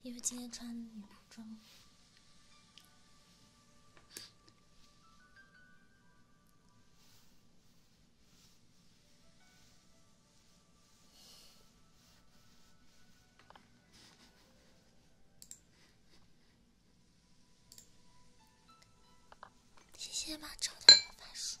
因为今天穿女仆装，谢谢马超的魔法书。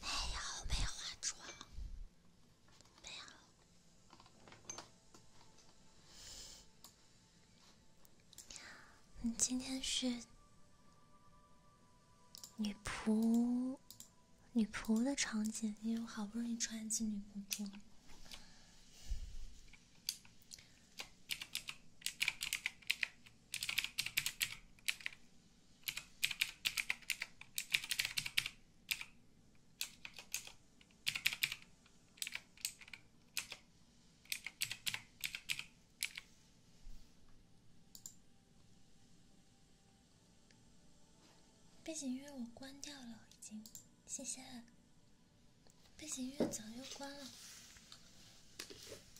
没有，没化妆。没有。你今天是女仆，女仆的场景，因为我好不容易穿一次女仆装。背景音乐我关掉了，已经，谢谢。背景音乐早就关了。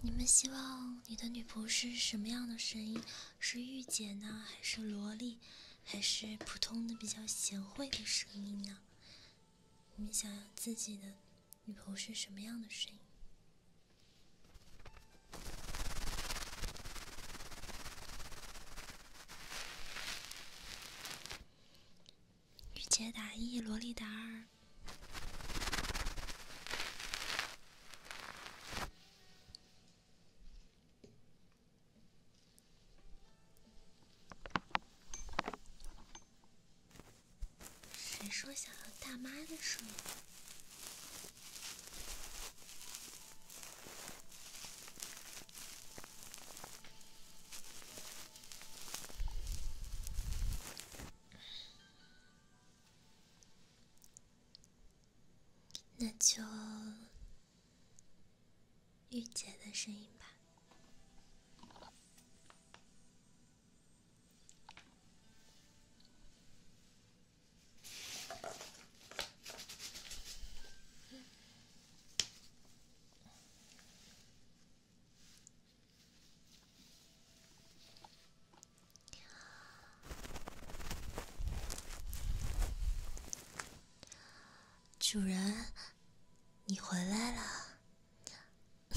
你们希望你的女仆是什么样的声音？是御姐呢，还是萝莉，还是普通的比较贤惠的声音呢？你们想要自己的女仆是什么样的声音？御姐打一，萝莉打二。谁说想要大妈的声音？那就御姐的声音吧。主人，你回来了。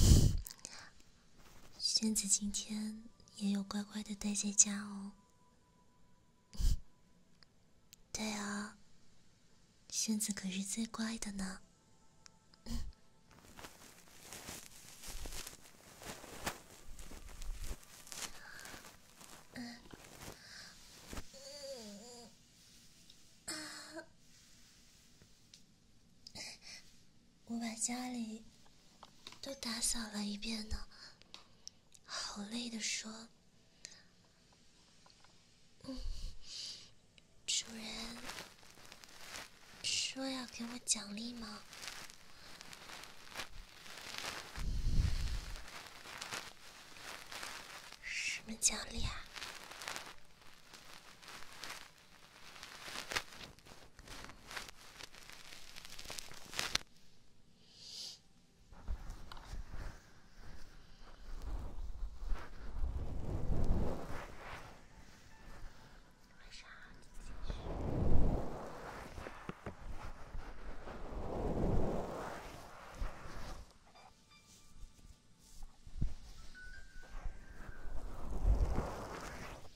仙子今天也有乖乖的待在家哦。对啊，仙子可是最乖的呢。嗯，嗯，啊，我把家里都打扫了一遍呢，好累的说，嗯。主人说要给我奖励吗？什么奖励啊？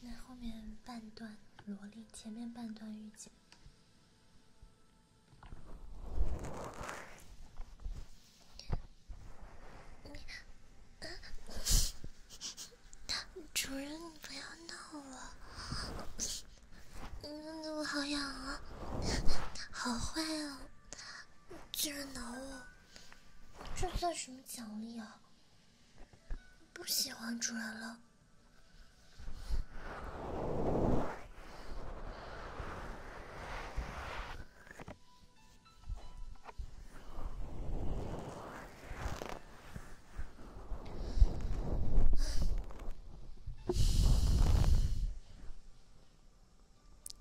那后面半段萝莉，前面半段御姐。主人，你不要闹了！嗯，我好痒啊？好坏啊！竟然挠我！这算什么奖励啊？不喜欢主人了。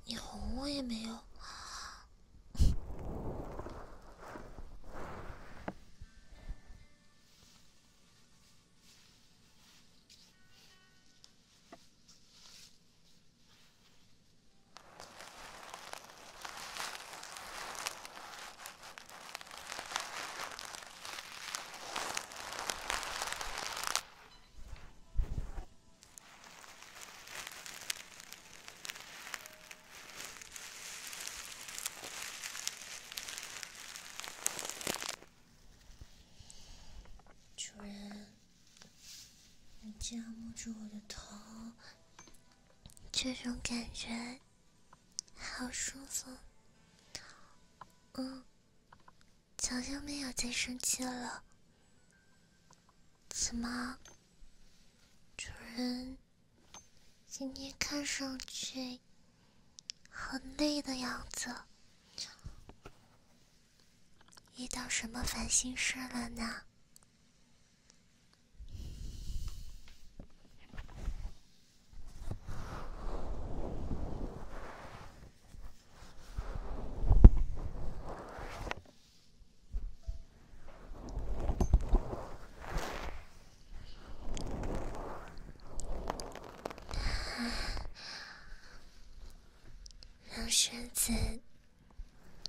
你哄我也没用。主人，你这样摸着我的头。这种感觉，好舒服。嗯，早就没有再生气了。怎么，主人今天看上去很累的样子，遇到什么烦心事了呢？让身子。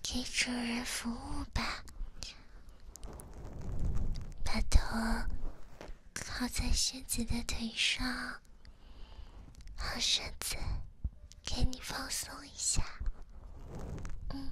给主人服务吧，把头靠在靴子的腿上，好身子，给你放松一下，嗯。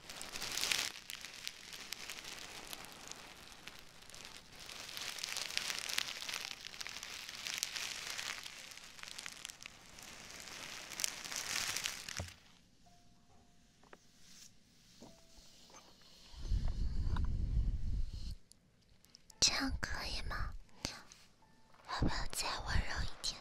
这样可以吗？要不要再温柔一点？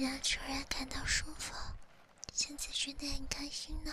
让主人感到舒服，现在觉得很开心呢。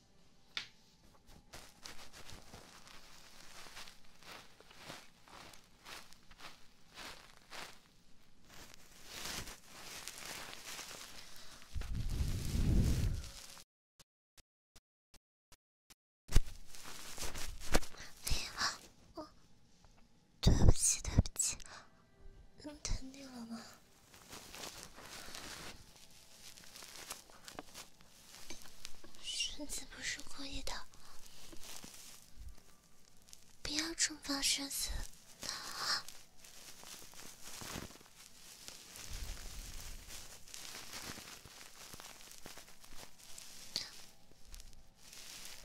哎呀，我对不起，对不起，弄疼你了吗？生子不是故意的，不要惩罚生子。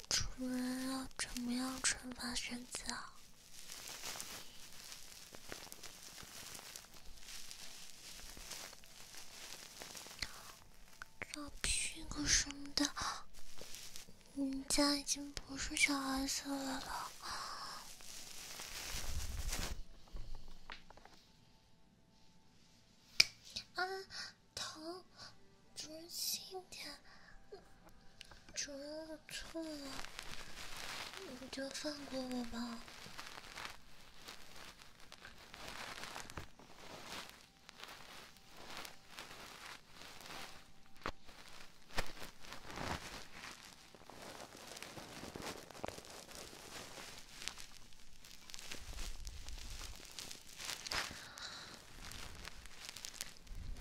主人要怎么样惩罚生死啊？擦屁股什么的，人家已经不是小孩子了。啊，疼，主人轻点。主人，我错了，你就放过我吧。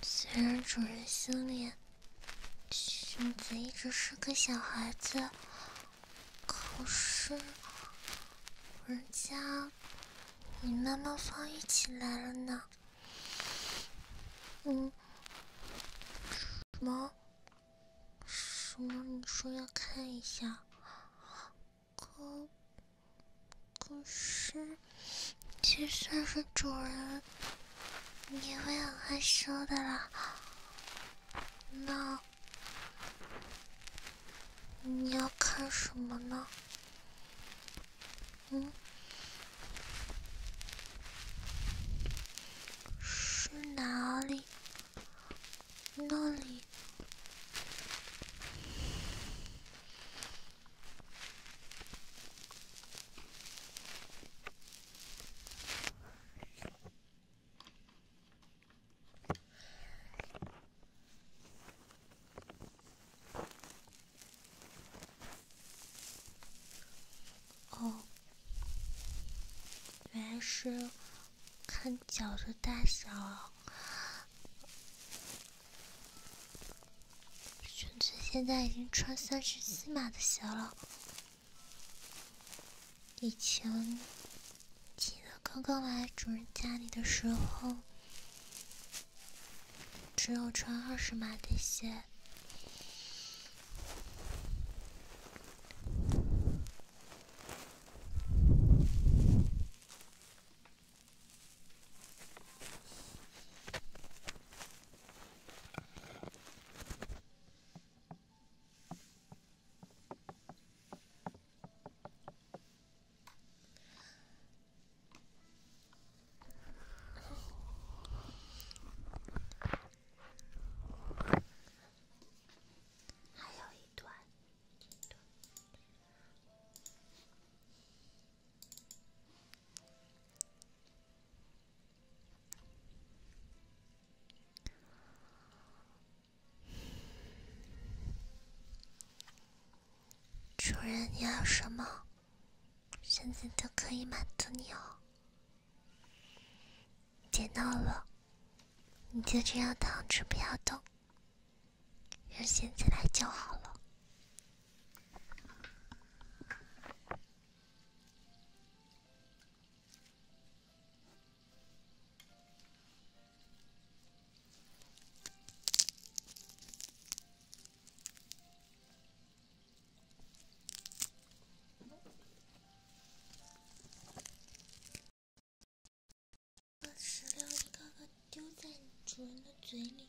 虽然主人心里，熊子一直是个小孩子。可是，人家你妈妈放一起来了呢。嗯，什么？什么？你说要看一下？可可是，就算是主人，你也会很害羞的啦。那。你要看什么呢？嗯，是哪里？那里。哦，原来是看脚的大小裙子现在已经穿三十七码的鞋了。以前记得刚刚来主人家里的时候，只有穿二十码的鞋。还有一段，一段。主人，你要什么，现子都可以满足你哦。别闹了，你就这样躺着不要动，让仙子来就好了。石榴一个个丢在主人的嘴里。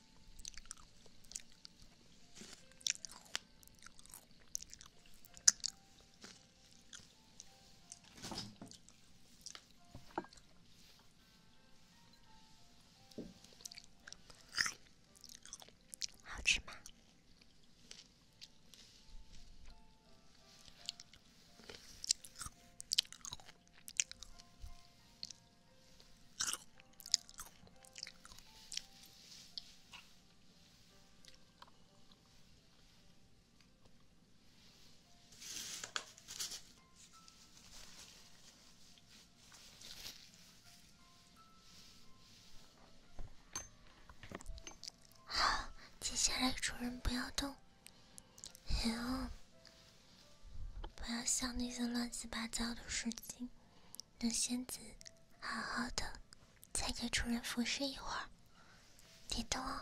好吃吗？好，接下来主人不要动，然后不要想那些乱七八糟的事情。那仙子，好好的，再给主人服侍一会儿，别动哦。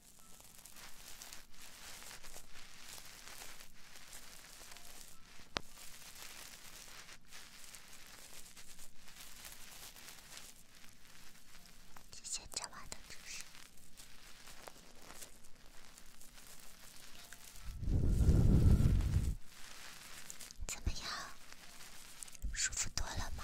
现在我的姿势怎么样？舒服多了吗？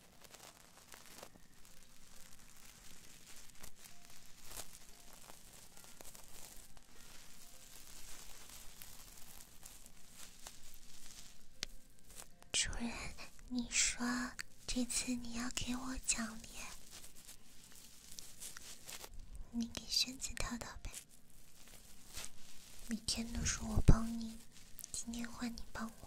主人，你说这次你要给我奖励？你给萱子套套呗。每天都是我帮你，今天换你帮我。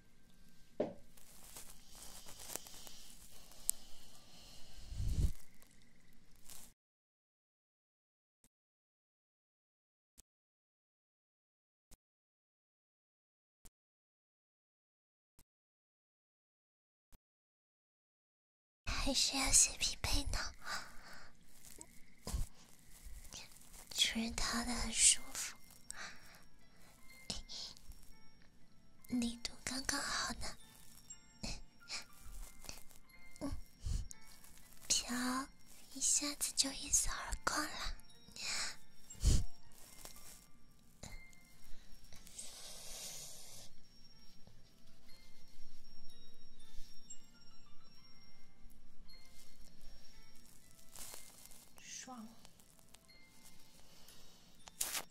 还是要写匹配呢，主人套的很舒服。力度刚刚好呢。瓢飘，一下子就一扫而光了，爽。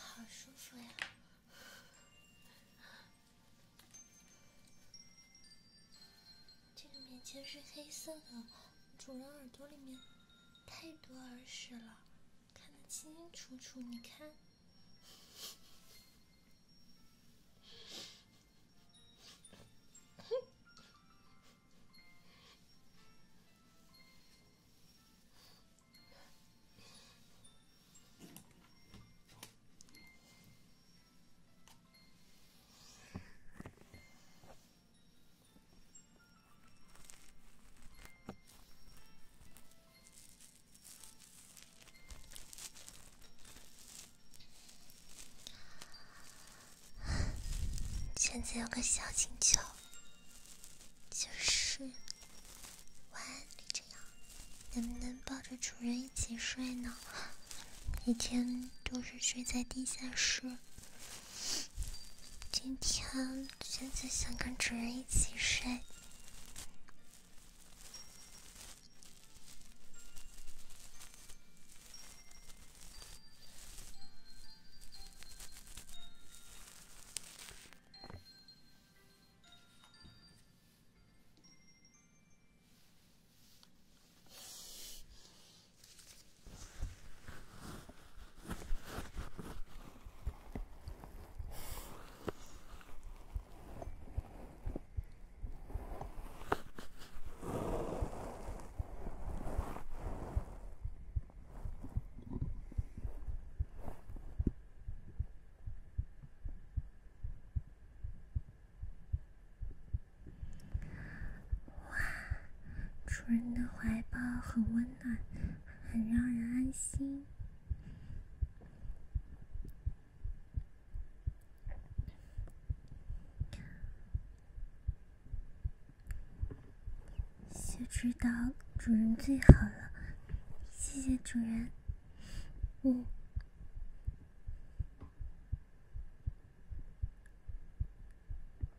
好舒服呀！这个棉签是黑色的，主人耳朵里面。太多耳屎了，看得清清楚楚。你看。现在有个小请求，就是晚安李晨阳，能不能抱着主人一起睡呢？每天都是睡在地下室，今天。现在想跟主人一起睡。哇，很温。很让人安心，就知道主人最好了。谢谢主人，嗯。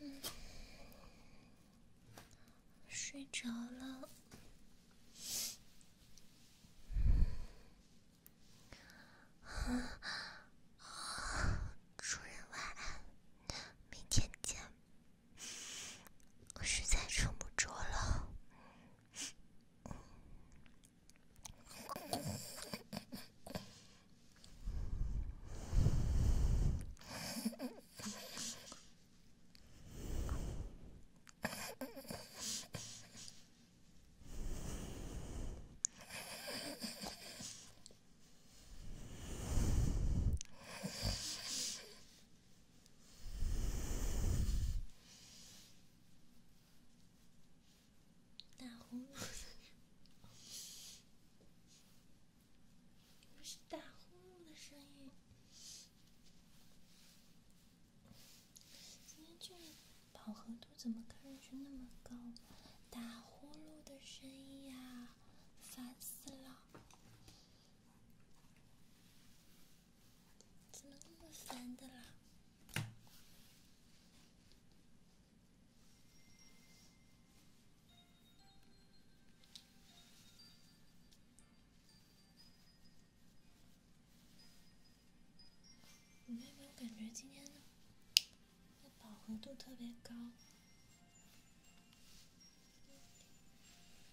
嗯，睡着了。啊，主人晚安，明天见。我实在撑不住了。打呼噜，不是打呼噜的声音。今天这饱和度怎么看上去那么高？打呼噜的声音呀，烦死了。怎么那么烦的啦？你有没有感觉今天，的饱和度特别高？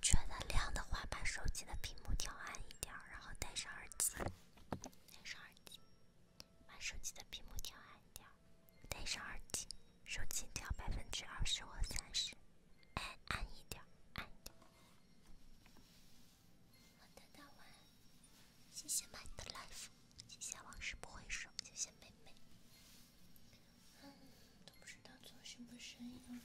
觉得亮的话，把手机的屏幕调暗一点，然后戴上耳机。戴上耳机，把手机的屏幕调暗一点。戴上耳机，手机调百分之二十或三十。哎，暗一点，暗一点。晚安，大晚。谢谢 m 的 Life，谢谢往事不回首，谢谢妹妹。嗯，都不知道做什么生意了。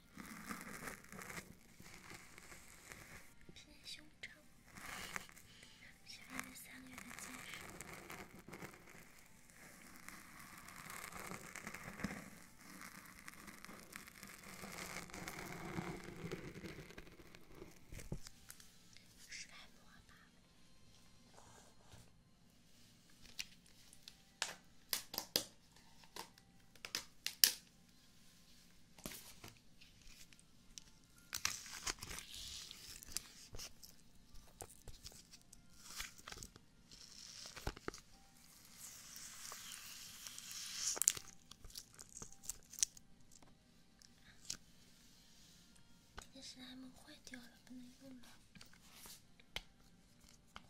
拼胸长，需要三个月的坚持。是爱莫大。那个史莱姆坏掉了，不能用了。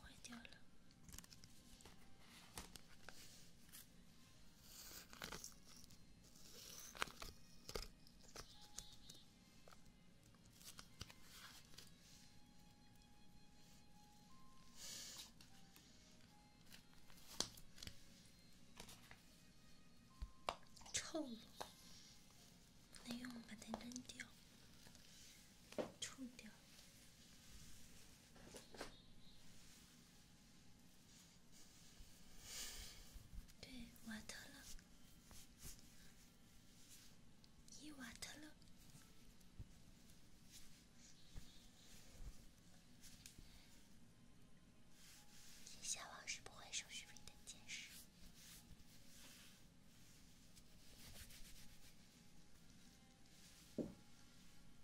坏掉了，臭了，没用把它扔掉，臭掉。对瓦特勒，伊瓦特勒，天蝎王是不会收手续费的，解释。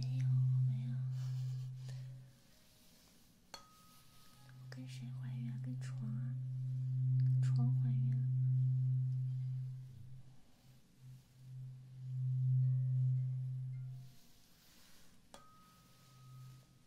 没有没有，跟谁怀孕啊？跟床啊？跟床怀孕？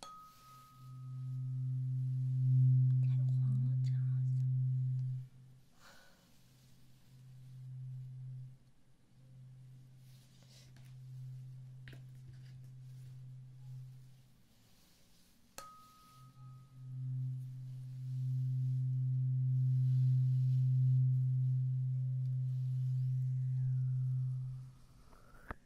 太黄了，真好像。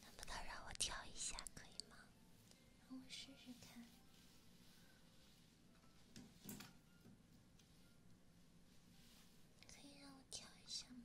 能不能让我跳一下，可以吗？让我试试看。可以让我跳一下吗？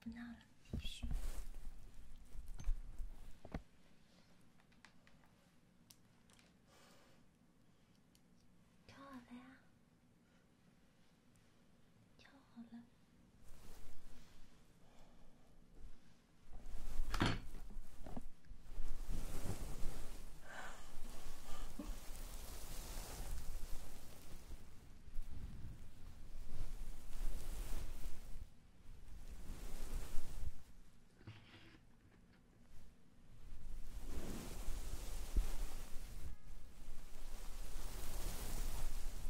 不闹了，继续。敲好了。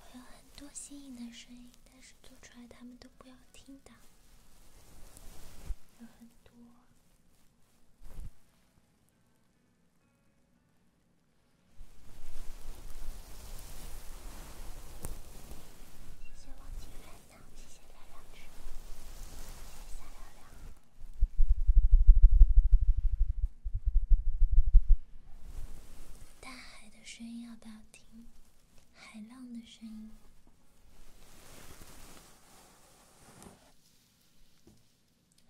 我有很多新颖的声音，但是做出来他们都不要听的，有很多。谢谢王景然，谢谢亮亮，谢谢亮亮。大海的声音要不要听？海浪的声音，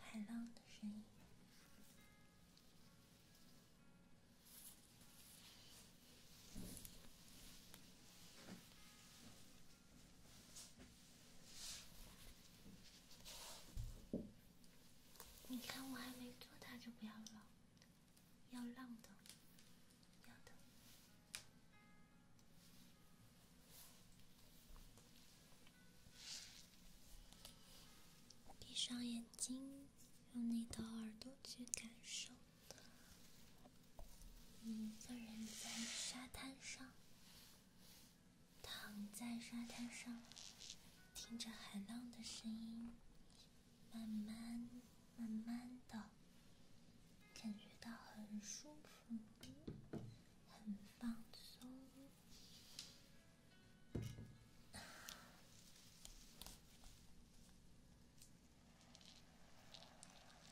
海浪的声音。你看，我还没做到就不要浪，要浪的，要的。闭上眼睛，用你的耳朵去感受，你一个人在沙滩上。躺在沙滩上，听着海浪的声音，慢慢、慢慢的，感觉到很舒服，很放松。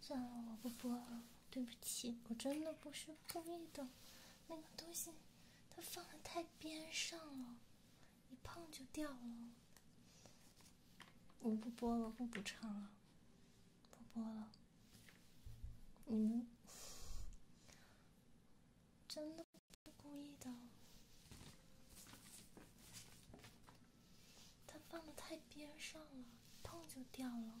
算了，我不播了，对不起，我真的不是故意的。那个东西它放的太边上了，一碰就掉了。我不播了，不补唱了，不播了。你们。真的是故意的，他放的太边上了，碰就掉了。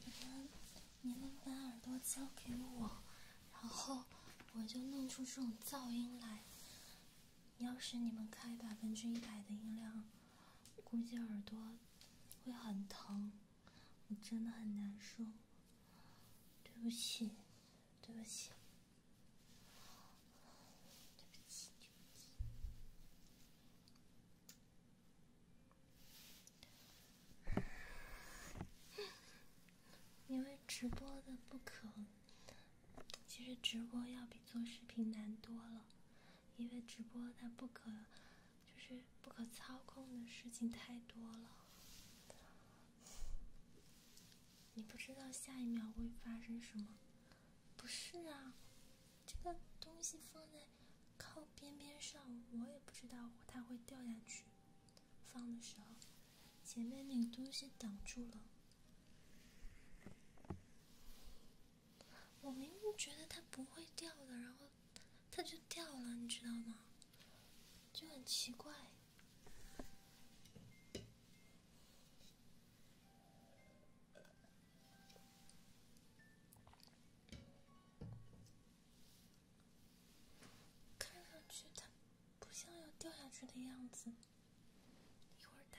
你们，你们把耳朵交给我，然后我就弄出这种噪音来。要是你们开百分之一百的音量，估计耳朵会很疼。我真的很难受，对不起，对不起，对不起，对不起，因为直播的不可，其实直播要比做视频难多了，因为直播它不可。就是不可操控的事情太多了，你不知道下一秒会发生什么。不是啊，这个东西放在靠边边上，我也不知道它会掉下去。放的时候，前面那个东西挡住了，我明明觉得它不会掉的，然后。它就掉了，你知道吗？就很奇怪。看上去它不像要掉下去的样子，一会儿打。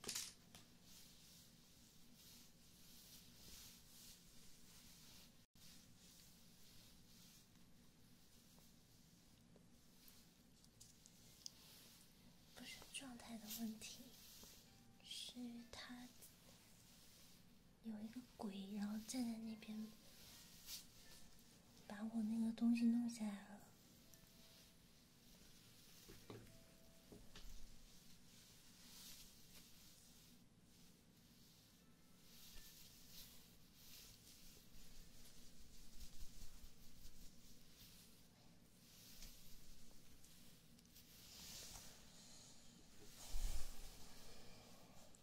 不是状态的问题，是他。有一个鬼，然后站在那边，把我那个东西弄下来了。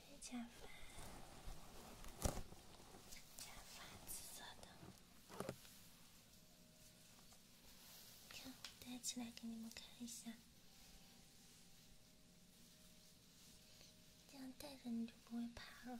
假发，假发，紫色的，看戴起来给你们看一下，这样戴着你就不会怕了。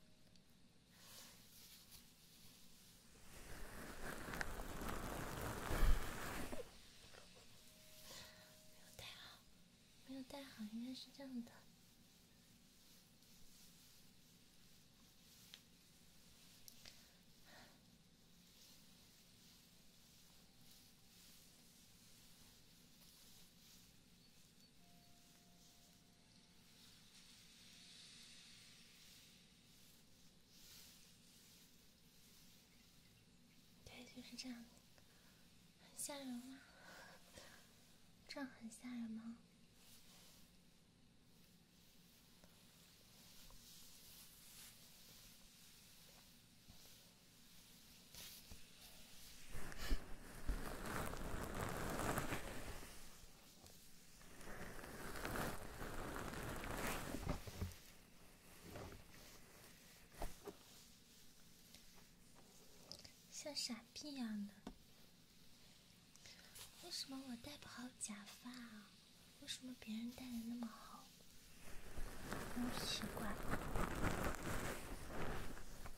没有戴好，没有戴好，应该是这样的。对，就是这样。很吓人吗？这样很吓人吗？像傻逼一样的，为什么我戴不好假发？为什么别人戴的那么好？好奇怪。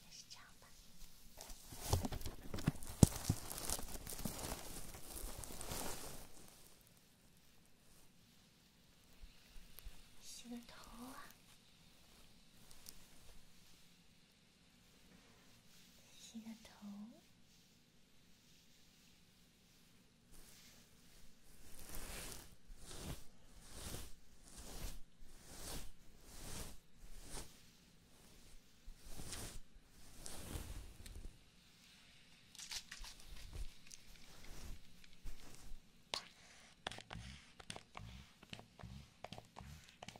还是这样吧，洗个头啊。洗个头。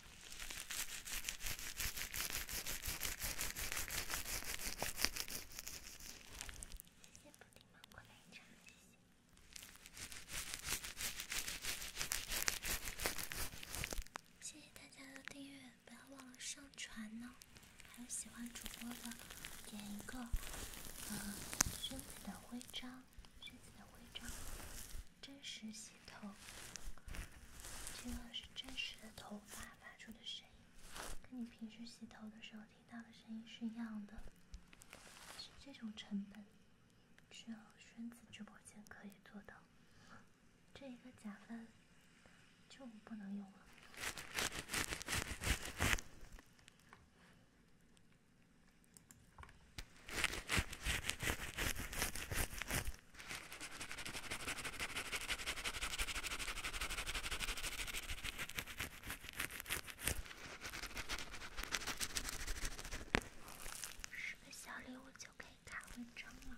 谢谢不礼貌的勋章，谢谢。谢谢大家的订阅，不要忘了上传呢。还有喜欢主播的，点一个呃，君子的徽章，君子的徽章，真实性。头，这个是真实的头发发出的声音，跟你平时洗头的时候听到的声音是一样的，是这种成本只有萱子直播间可以做到，这一个假发就不能用了。十个小礼物就可以打文章了。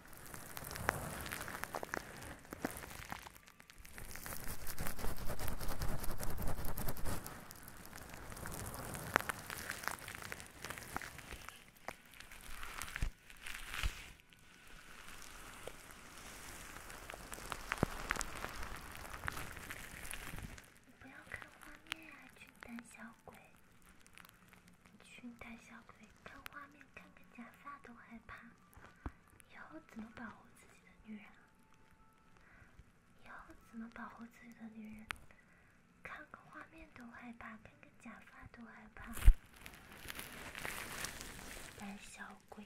你不要看画面啊，俊胆小。鬼，俊呆小鬼，看画面，看个假发都害怕，以后怎么保护自己的女人？以后怎么保护自己的女人？看个画面都害怕，看个假发都害怕，胆小鬼。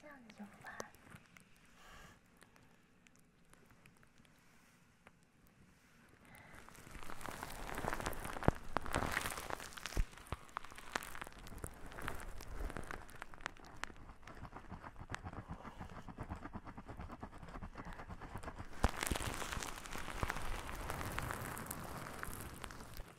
这样子就不好。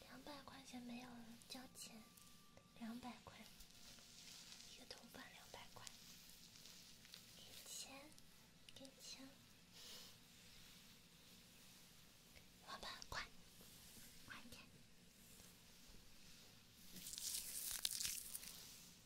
两百块钱没有了，交钱。两百块，一个头发两百块。给钱，给钱。好吧，快，快点。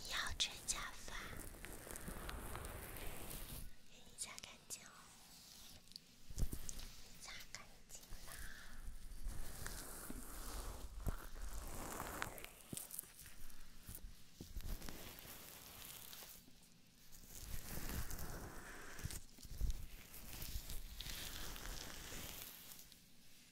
你要穿假发？给你擦干净哦，擦干净啦。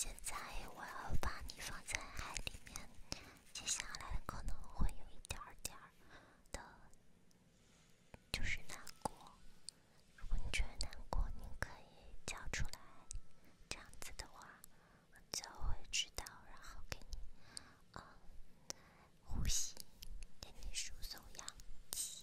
现在我要把你放在海里面。接下来可能会有一点点的，就是难过。如果你觉得难过，你可以叫出来，这样子的话，我就会知道，然后给你，嗯，呼吸，给你输送氧气。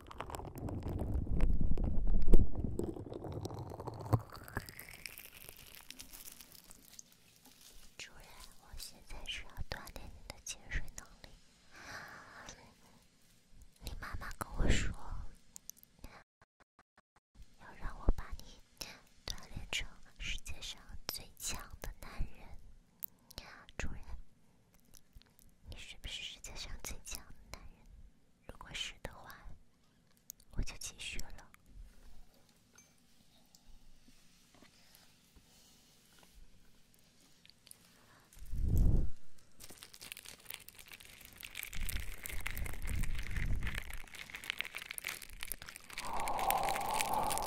主人，我现在需要锻炼你的潜水能力。你妈妈跟我说，要让我把你锻炼成世界上最强的男人。主人，你是不是世界上最强的男人？如果是的话，我就继续了。好。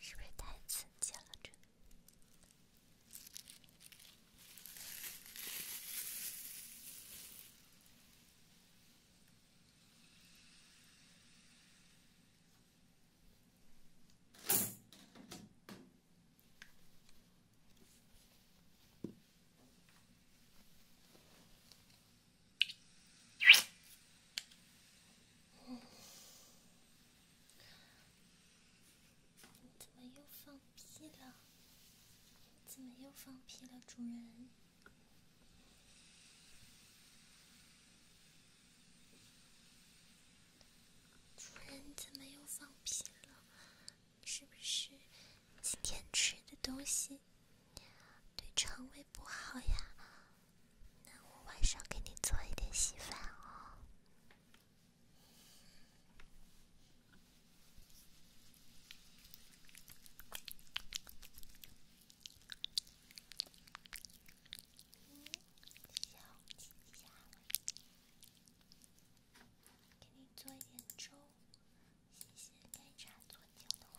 是不是太刺激了？这。你怎么又放屁了？怎么又放屁了，主人？主人怎么又放屁了？是不是今天吃的东西对肠胃不好呀？那我晚上给你做一点稀饭哦。下午，下午给你做一点粥。谢谢奶茶做精的互动。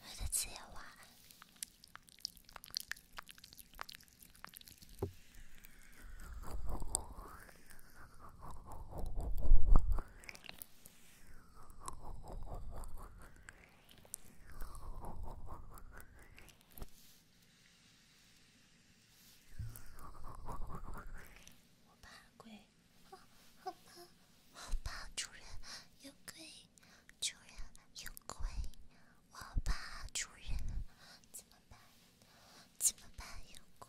我的作业晚怕鬼。好，好怕，好怕主人有鬼，主人有鬼，我怕主人，怎么办？怎么办？有鬼！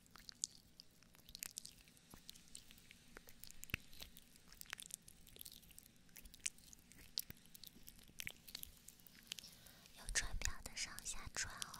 有船票的上下船哦。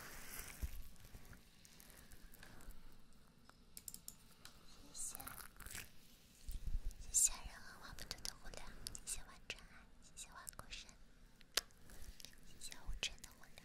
谢谢，谢谢任何花木朵的姑娘，谢谢万转，谢谢花果山，谢谢无尘的姑娘。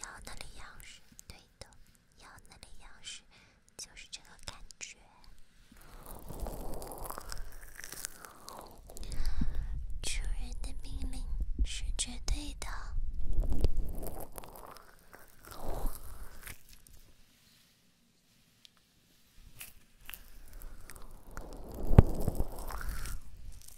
要那里样式对的，要那里样式就是这个感觉。主人的命令是绝对的。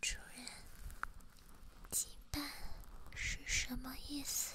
主人，羁绊是什么意思？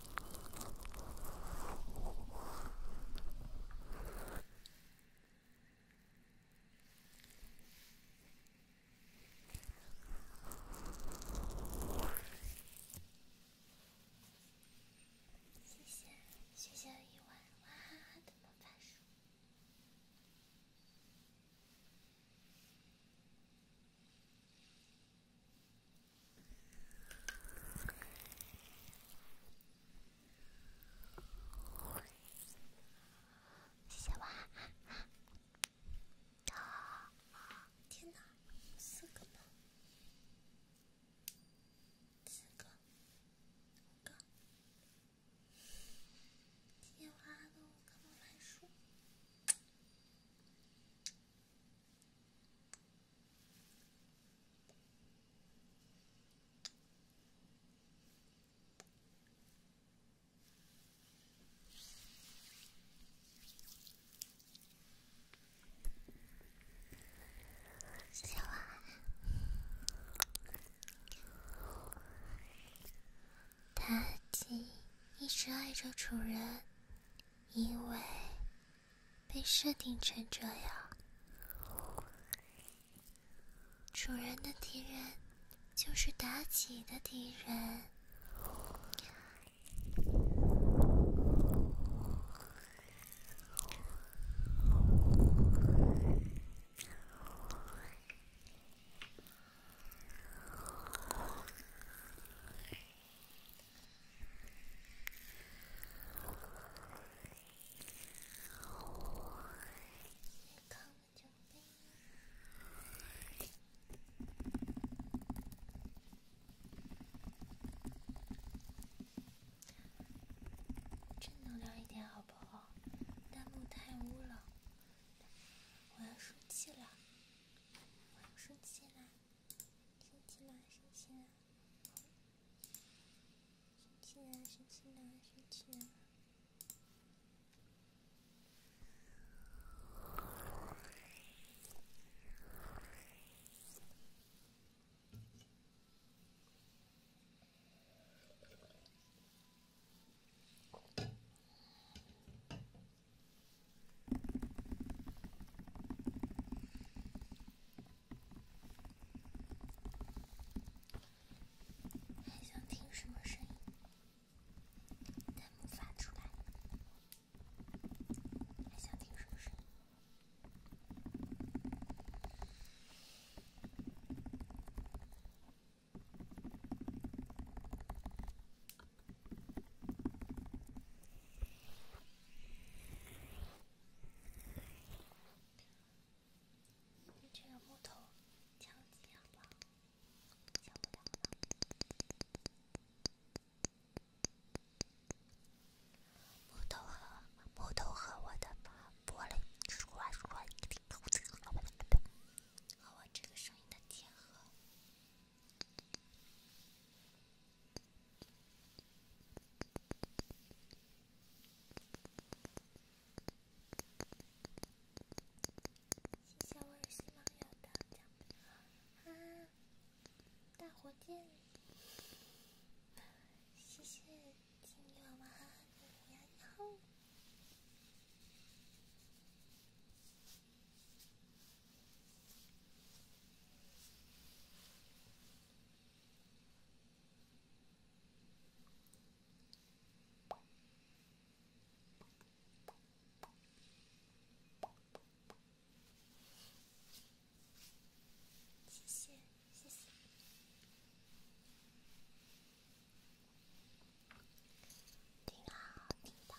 谢谢，谢谢一晚哇哈哈的魔法书。谢谢娃，天哪，四个吗？四个，五个。谢谢娃，跟我来书。小花，妲己一直爱着主人，因为。被设定成这样，主人的敌人就是妲己的敌人。正能量一点好不好？弹幕太污了，我要生气了！我要生气了！生气了！生气了！生气了，生气了，生气了。还想听什么声音？弹幕发出来。还想听什么声音？这个木头，木头和木头和我的玻璃，和我这个声音的结合。谢谢我耳屎网友的奖品啊！大火箭！谢谢金牛娃的礼物，你谢谢，谢谢，听到，听到。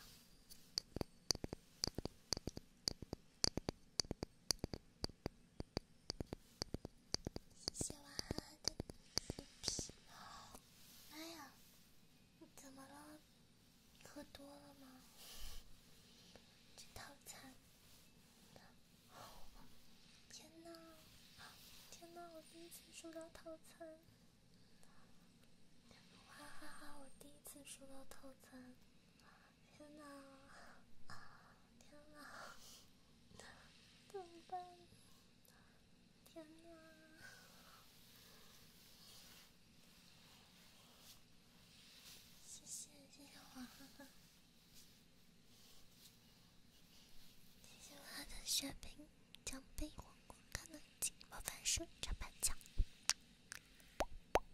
喜欢的视频吗？没有？怎么了？喝多了吗？套餐？天哪！天哪！我第一次收到套餐！哈哈哈！我第一次收到套餐！天哪！天哪！怎么办？天哪！谢谢谢谢我，谢谢我的血瓶、奖杯、皇冠、技能、魔法反射板墙。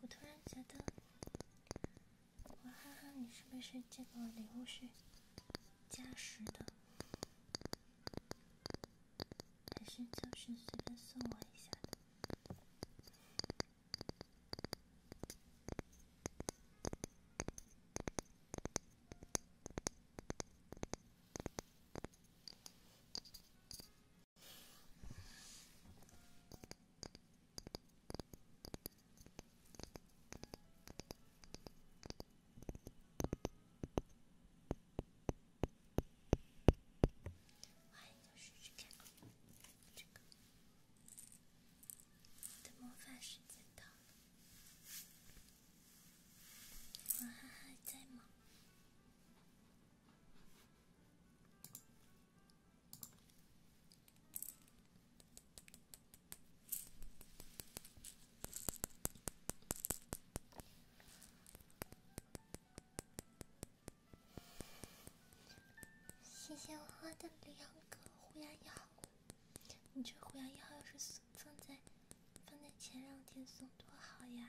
我突然觉得，娃哈哈，你是不是这个礼物是加时的，还是就是随便送我一下的？换一个手机看。这个，我的魔法时间到了。我哈哈，在吗？谢谢我花的两个虎牙一号，你这虎牙一号要是放在放在前两天送多好呀！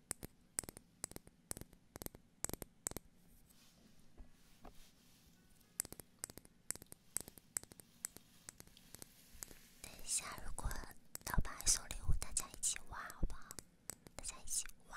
等一下，如果老板送礼物，大家一起挖，好不好？大家一起挖。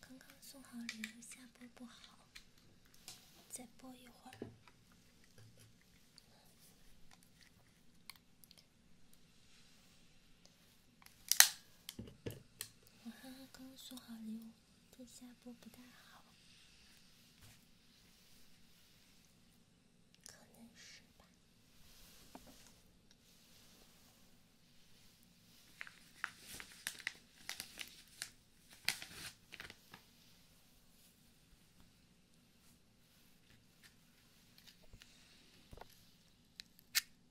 刚刚送好礼物下播不好，再播一会儿。我刚刚送好礼物。这下播不太好，可能是吧。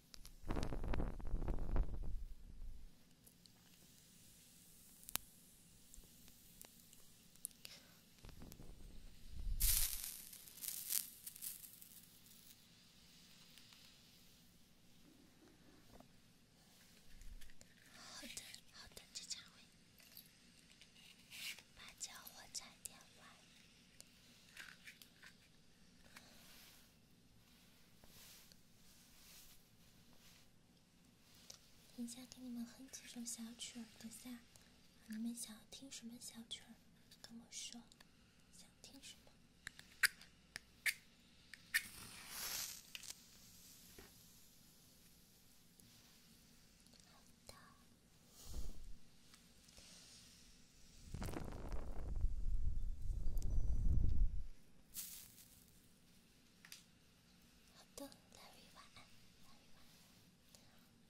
好的，好的，这场会把这火柴点完。等一下给你们哼几首小曲儿，等下你们想要听什么小曲儿，跟我说，想听什么。好的。好的，大卫，晚安。大卫，晚安。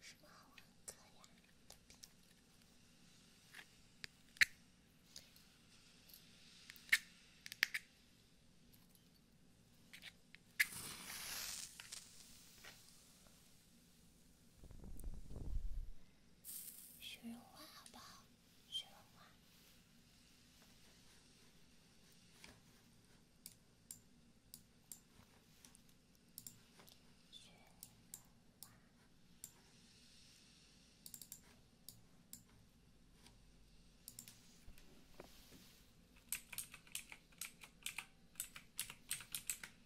什么好玩的课呀？雪绒花，好不好？雪绒花，雪绒花。月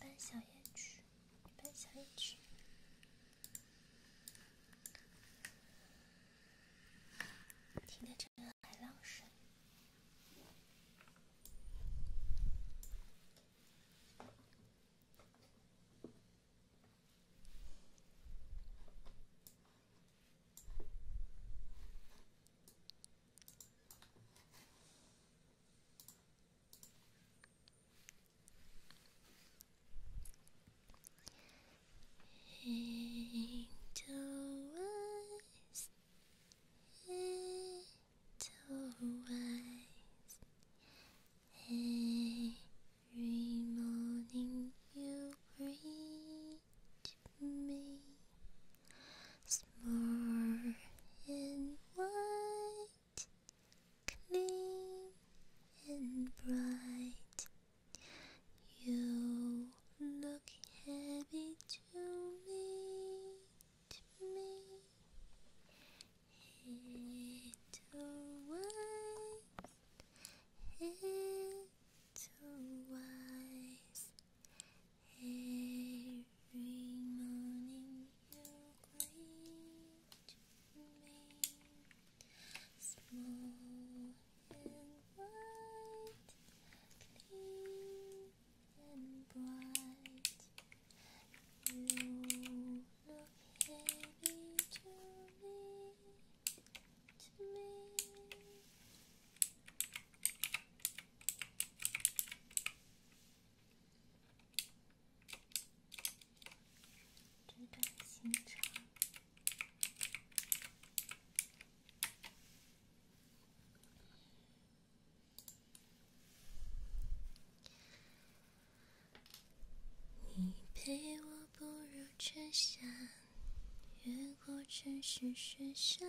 半小夜曲，月半小夜曲，听着这海浪声。Angel eyes, angel eyes. Every morning you reach me Small and white, clean and bright. You look heavy to me, to me. Little wise, little Every morning you're going small and white, clean and bright. You look heavy to me, to me. 这段行程，你陪我步入春夏，越过城市喧嚣，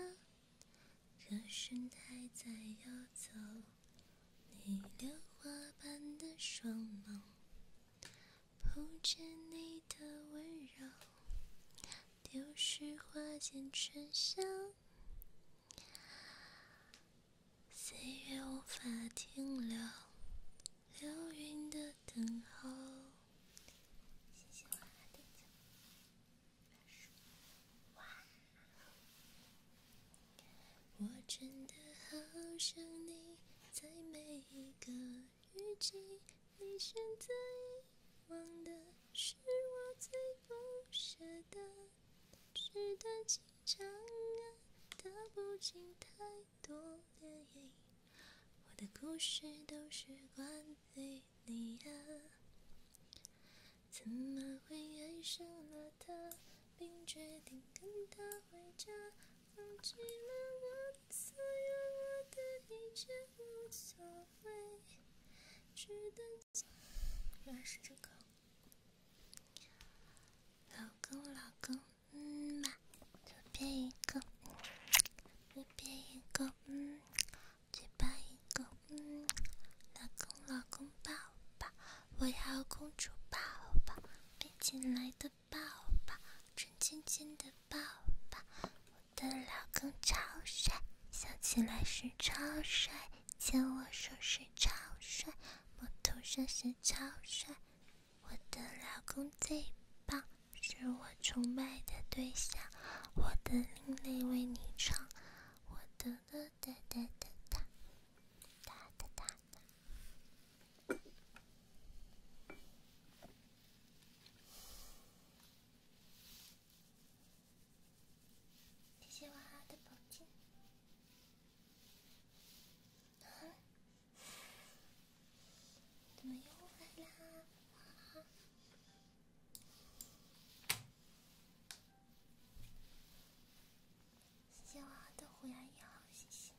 歌声还在游走。你榴花般的双眸，不见你的温柔，丢失花间春香，岁月无法停留，流云的等候。我真的好想你，在每一个雨季。你现在忘的是我最不舍的，是段情长啊，道不尽太多涟漪，我的故事都是关于你啊。怎么会爱上了他，并决定跟他回家，放弃了我所有我的一切无所谓，只等。原来是这个，老公老公，嗯嘛，左边一个，右边一个，嗯，嘴巴一个，嗯，老公老公抱抱。我要公主抱抱，飞起来的抱抱，沉亲亲的抱抱。我的老公超帅，笑起来是超帅，牵我手是超帅，摸头舌是超帅。我的老公最棒，是我崇拜的对象。我的另类为你唱，我的。哒哒哒哒哒哒哒哒！谢谢娃哈的宝剑。怎么又来了？谢谢娃的虎牙一号，谢谢！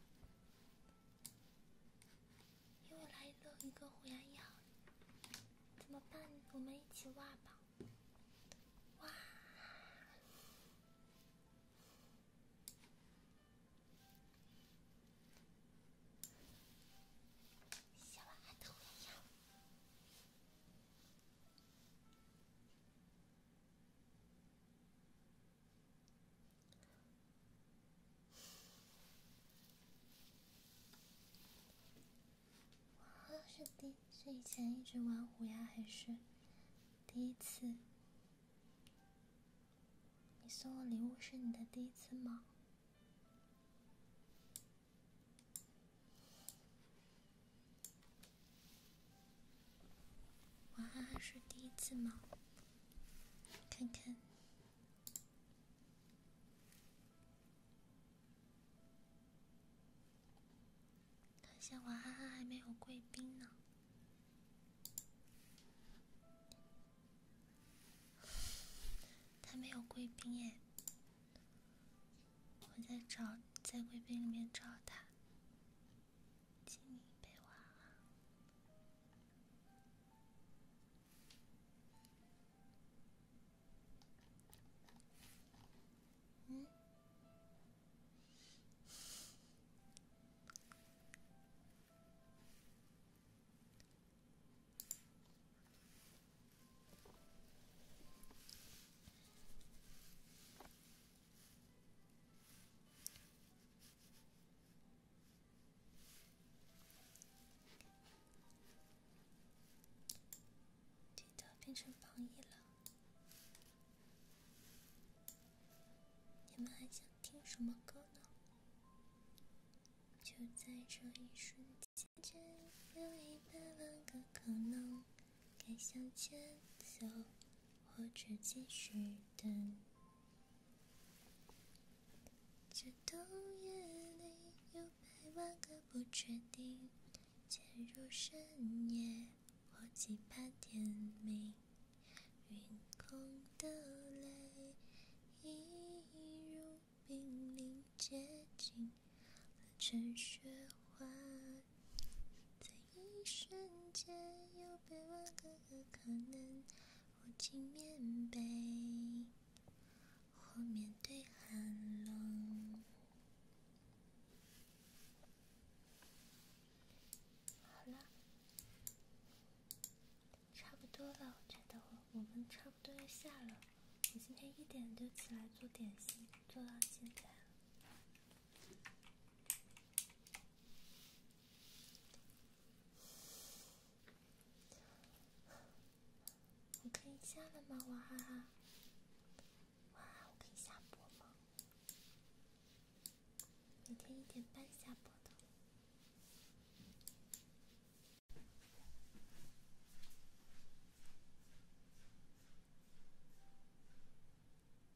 又来了一个虎牙一号，怎么办？我们一起挖吧！哇！小娃的虎牙。是第是以前一直玩虎牙还是第一次？你送我礼物是你的第一次吗？王哈哈是第一次吗？看看，好像王哈哈还没有贵宾呢，他没有贵宾哎。我在找，在贵宾里面找他，这都变成榜一了！你们还想听什么歌呢？就在这一瞬间，有一百万个可能，该向前走。或者继续等。这冬夜里有百万个不确定，潜入深夜或期盼天明。云空的泪，一如冰凌结晶成雪花。在一瞬间，有百万个个可能：我竟面被，或面对寒冷。好了，差不多了，再等会，我们差不多要下了。我今天一点就起来做点心，做到现在。你可以下了吗？娃哈哈，娃哈我可以下播吗？每天一点半下播的。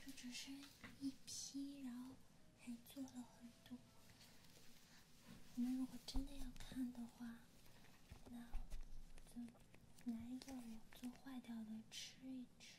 就只是一批，然后还做了很多。你们如果真的要看的话，那就拿一个我做坏掉的吃一吃。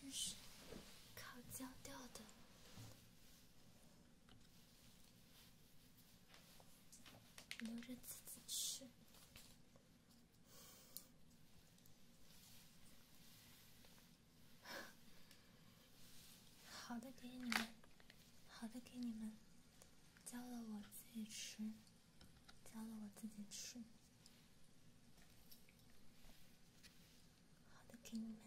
真是烤焦掉的，留着自己吃。好的，给你们，好的给你们，教了我自己吃。教了我自己吃，好的给你们，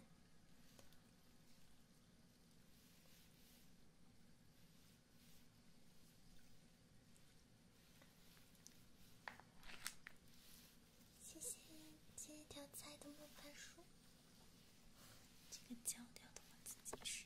谢谢谢谢条菜的魔法书，这个教掉的我自己吃。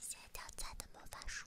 《仙掉菜的魔法书》。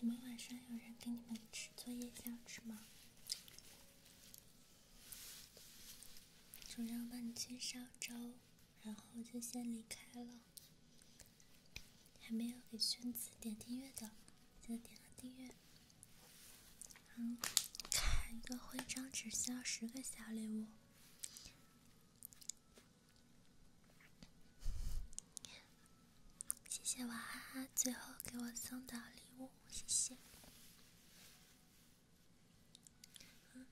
你们晚上有人给你们吃做夜宵吃吗？主要我帮你去烧粥，然后就先离开了。还没有给萱子点订阅的，记得点个订阅。嗯，开一个徽章只需要十个小礼物。谢谢娃哈哈最后给我送的礼物，谢谢。嗯，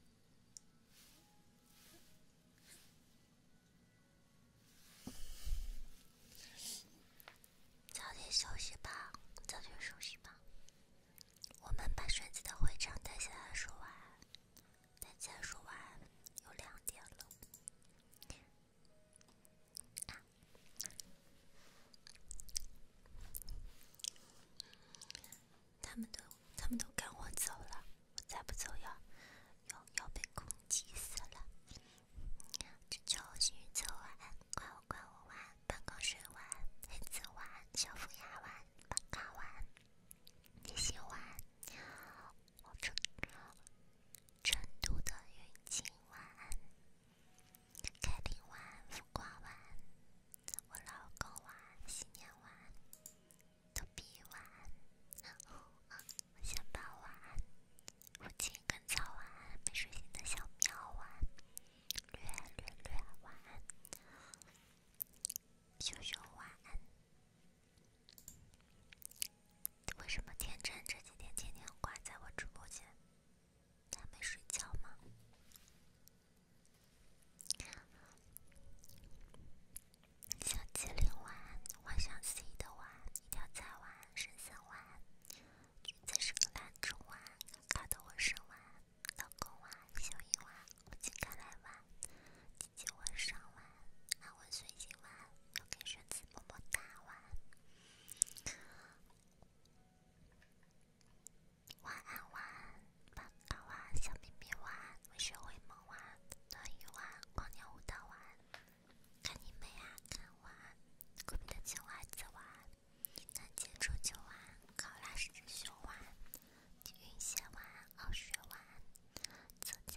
早点休息吧，早点休息吧。我们把轩子的回程带下来说完。大家晚安，有两点了。他们都，他们都赶我走了，我再不走要，要要被攻击死了。祝所有幸运者晚安，怪我怪我晚，半光水晚，黑子晚，小夫牙晚，八嘎晚，你先晚。成都的云锦晚安，凯蒂晚安，福晚我老公晚安，新年晚安，豆逼晚安，我先晚安，父亲跟早晚安，没睡醒的小喵晚安，略略略晚安，熊熊晚安。为什么天真这几天天天挂在我直播间？还没睡觉吗？小精灵玩，幻想 C 的玩，吊彩玩，神仙玩，在英格兰中玩，卡特沃什玩，老公玩，小鱼玩，我今天来玩。安稳睡醒玩，又给萱子么么哒玩，晚安玩，棒棒娃小咪咪玩，会学会梦玩，暖宇玩，光年舞蹈玩，看你们呀看玩，国米的青蛙子玩，南极洲球玩，考拉是只熊玩，极限玩，傲雪玩，自家。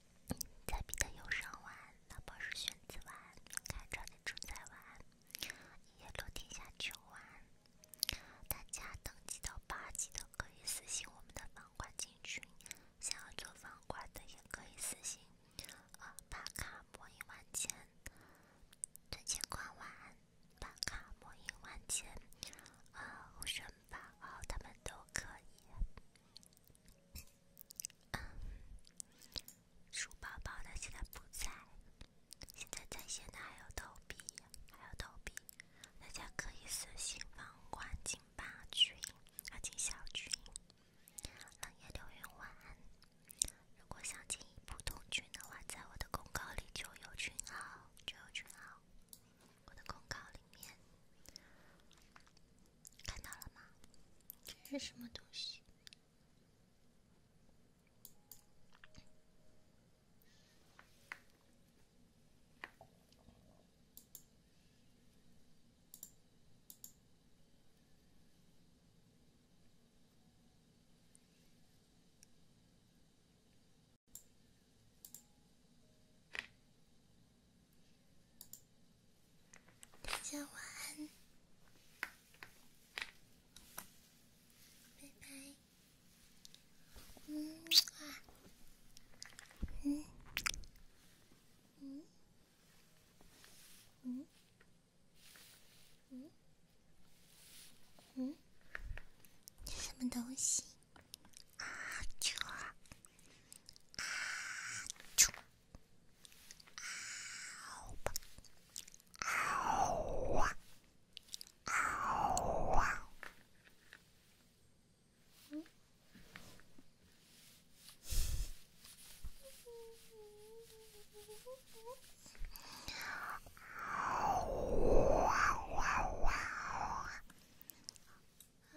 在彼得有上玩，老炮是玄子玩，看超级主宰玩，叶落天下秋玩。大家等级到八级的可以私信我们的房管进群，想要做房管的也可以私信。呃，八卡魔影万千，盾前矿玩，八卡魔影万千，呃，武神八号他们都可以。鼠宝宝的现在不在，现在在线的还有豆币，还有豆币，大家可以私信房管进吧群，要进小群。冷夜流云晚，如果想进一步入群的话，在我的公告里就有群号，就有群号。我的公告里面看到了吗？这是什么东西？大家晚安，拜拜。嗯啊，嗯，嗯，嗯，嗯，嗯，什么东西？啊啾！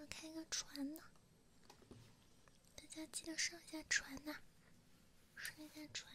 开个船呢。大家记得上下船呐，上下船。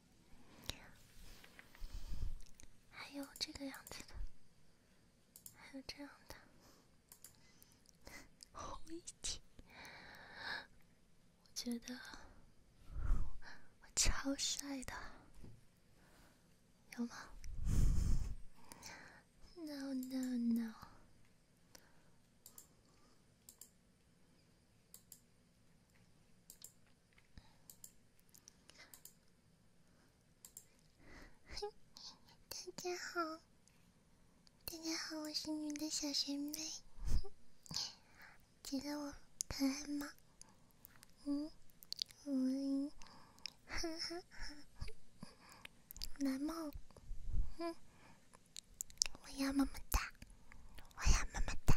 还有这个样子的，还有这样的，红衣弟，我觉得我超帅的，有吗？No no no。大家好，大家好，我是你的小学妹，觉得我可爱吗？嗯，我，哈哈哈，来梦，嗯，我要么么哒，我要么么哒。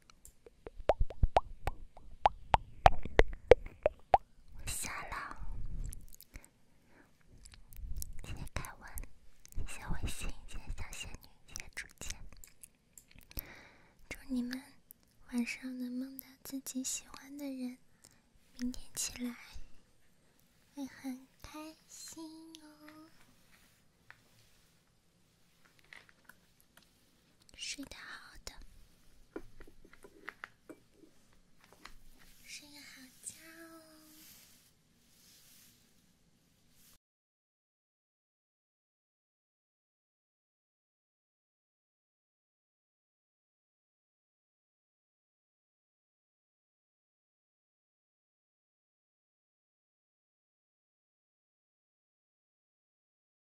下了，谢谢凯文，谢谢伟星，谢谢小仙女，谢谢竹简。祝你们晚上能梦到自己喜欢的人，明天起来会很开心哦。睡得好的，睡个好觉哦。